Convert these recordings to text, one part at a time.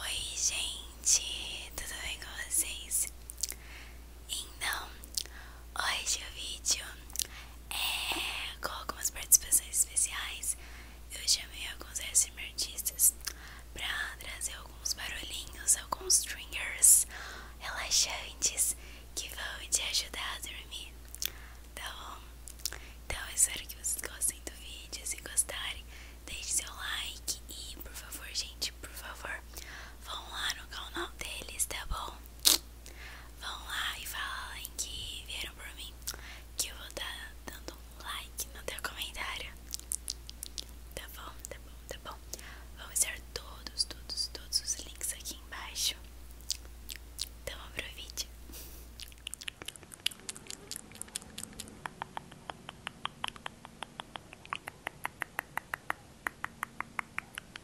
Oi, gente, tudo bem com vocês? Então, hoje o vídeo é, com algumas participações especiais. Eu chamei alguns ASMR artistas pra trazer alguns barulhinhos, alguns stringers relaxantes que vão te ajudar a dormir, tá bom? Então eu espero que vocês gostem do vídeo, se gostarem, deixe seu like e por favor, gente, por favor, vão lá no canal deles, tá bom? Vão lá e falem que vieram por mim, que eu vou estar tá dando um like no teu comentário. Tá bom, tá bom, tá bom. vamos estar todos, todos, todos os links aqui embaixo. Então vamos pro vídeo.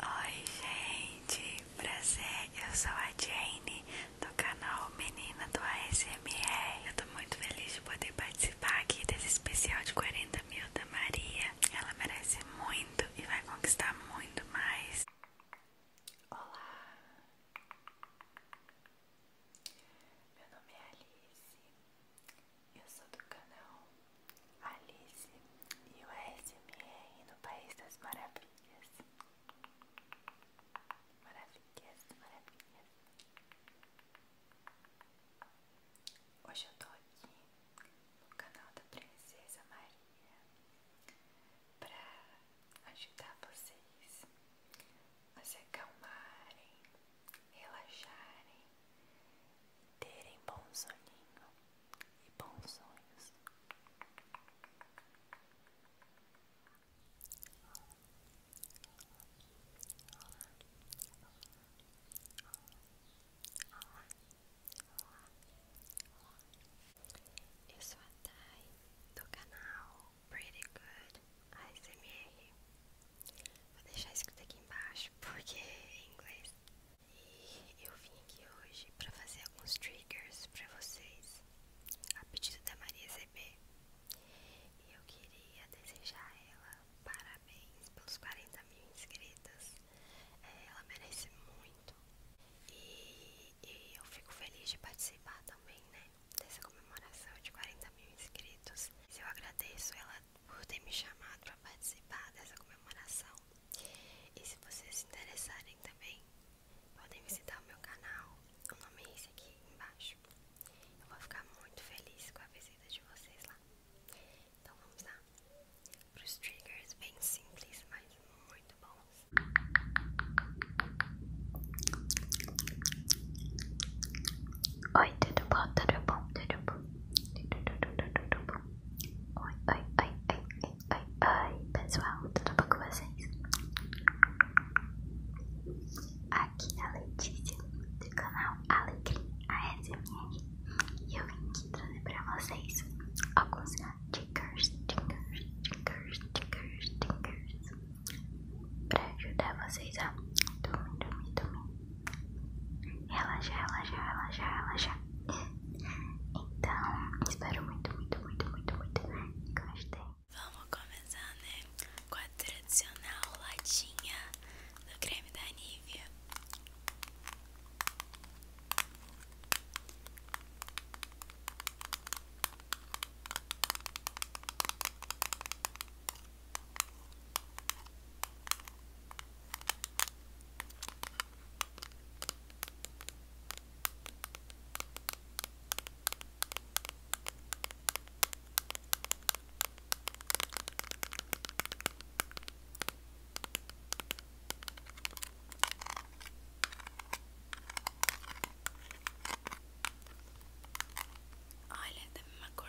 Oi gente, prazer, eu sou a Jane do canal Menina do ASMR. Eu tô muito feliz de poder participar aqui desse especial de 40 mil da Maria. Ela merece muito e vai conquistar muito mais. Olá, meu nome é Alice, eu sou do canal Alice e o ASMR no País das Maravilhas maravilhoso, maravilhas. Hoje eu tô aqui no canal da Princesa Maria pra ajudar vocês a se acalmarem, relaxarem, terem bom soninho e bons sonhos. Eu sou a Thay do canal Pretty Good ASMR. Vou deixar escrito aqui embaixo porque é em inglês. E eu vim aqui hoje para fazer alguns triggers para vocês a pedido da Maria CB. E eu queria desejar a ela parabéns pelos 40 mil inscritos. É, ela merece muito. E, eu fico feliz de participar também, né? Dessa comemoração de 40 mil inscritos. Eu agradeço ela por ter me chamado para participar dessa comemoração. E se vocês interessarem também, podem visitar o meu canal, o nome é esse aqui embaixo. Eu vou ficar muito feliz com a visita de vocês lá. Então vamos lá para os triggers bem simples, mas muito bons. Oi, tudo bom? Tudo bom? Tudo bom? Tudo, tudo, tudo, tudo bom? Oi, oi, oi, oi, oi, oi, oi pessoal, tudo bom com vocês? Aqui é a Letícia do canal Alecrim ASMR e eu vim aqui trazer pra vocês alguns tickers, tickers, tickers, tickers, tickers pra ajudar vocês a dormir, dormir, dormir, relaxar, relaxar, relaxar, relaxar. Então, espero muito, muito, muito, muito, muito que Vamos começar, né? Com a tradicional latinha do creme da Nivea. Olha, da mesma cor.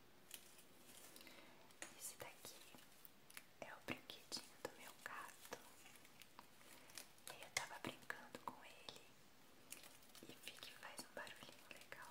Esse daqui é o brinquedinho do meu gato. e Eu tava brincando com ele e vi que faz um barulhinho legal.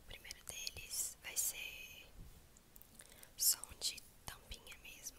O primeiro deles vai ser som de tampinha mesmo.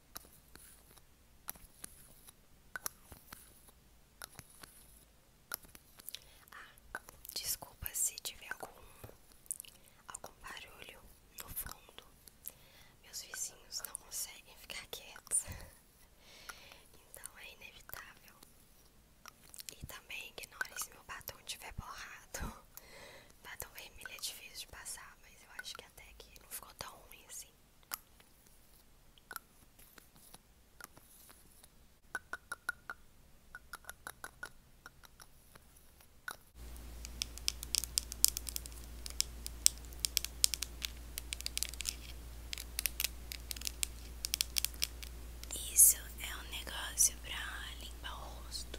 Ah, desculpa se tiver algum algum barulho no fundo. Meus vizinhos não conseguem ficar quietos. Então é inevitável. E também ignore se meu batom tiver borrado. Batom vermelho é difícil de passar, mas eu acho que até aqui não ficou tão ruim assim. Isso é um negócio para limpar o rosto.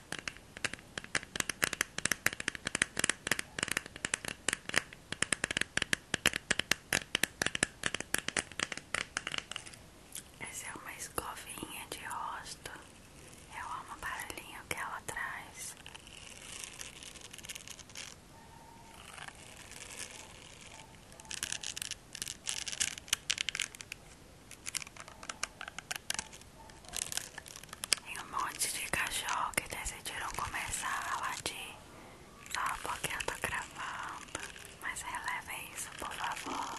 Essa é uma escovinha de rosto. Eu é amo o barulhinho que ela traz. Tem um monte de cachorro que decidiram começar a latir só porque eu tô gravando, mas relevem isso, por favor.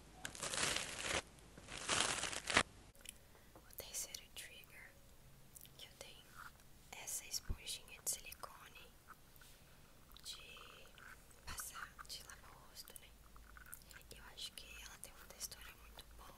O terceiro trigger que eu tenho é essa esponjinha de silicone de passar, de lavar o rosto, né? Eu acho que ela tem uma textura muito boa.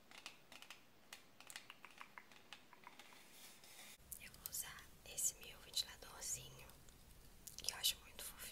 Eu vou usar esse meu ventiladorzinho, que eu acho muito fofinho.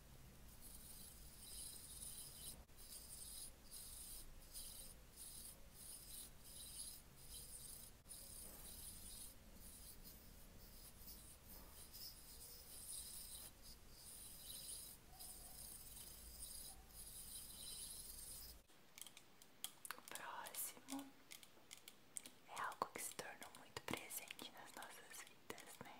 O próximo é algo que se tornou muito presente nas nossas vidas, né?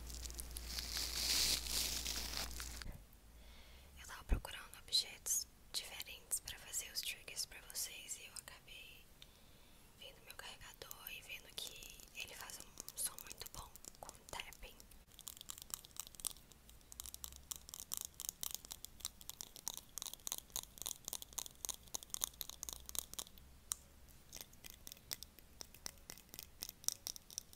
Eu estava procurando objetos diferentes para fazer os triggers para vocês e eu acabei vendo meu carregador e vendo que ele faz um som muito bom com tapping.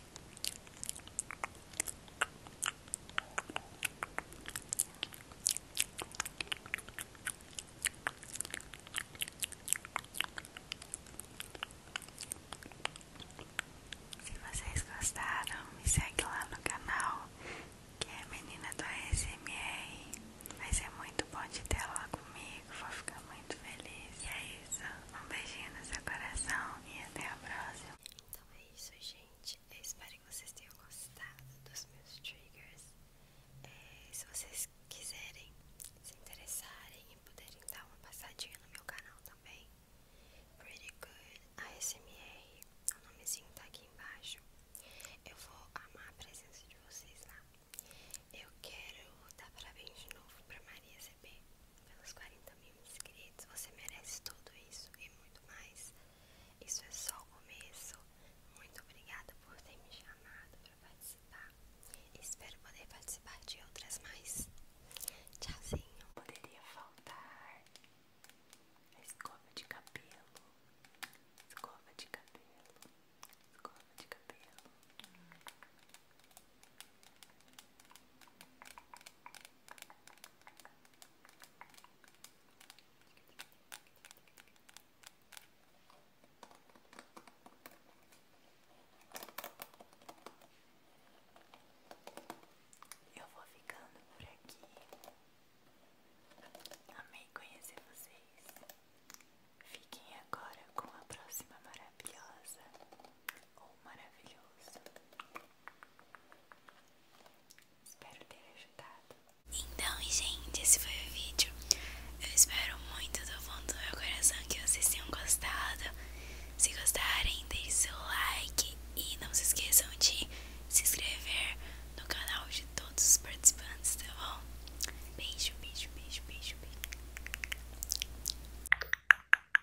Se vocês gostaram, me segue lá no canal que é Menina do ASMR. mas é muito bom de ter lá comigo, vou ficar muito feliz. é isso. Um beijinho no seu coração e até a próxima. Então é isso, gente. Eu espero que vocês tenham gostado dos meus triggers. É, se vocês quiserem, se interessarem e puderem dar uma passadinha no meu canal também, Pretty Good ASMR, o nomezinho tá aqui embaixo. Eu vou amar a presença de vocês lá. Eu quero dar parabéns de novo pra Maria CB pelos 40 mil inscritos. Você merece tudo isso e muito mais. Isso é só o começo. Muito obrigada por ter me chamado para participar. Espero poder participar de outras mais. Tchauzinho. Poderia faltar a escova de cabelo. Escova de cabelo. Escova de cabelo. Eu vou ficando por aqui. Amei conhecer vocês. Fiquem agora com a próxima maravilhosa ou oh, maravilhoso. Espero ter ajudado. Então, gente, esse foi o vídeo. Eu espero muito do fundo do meu coração que vocês tenham gostado. Se gostarem, deixe seu like e não se esqueçam de se inscrever no canal de todos os participantes, tá bom? Beijo, beijo, beijo, beijo, beijo.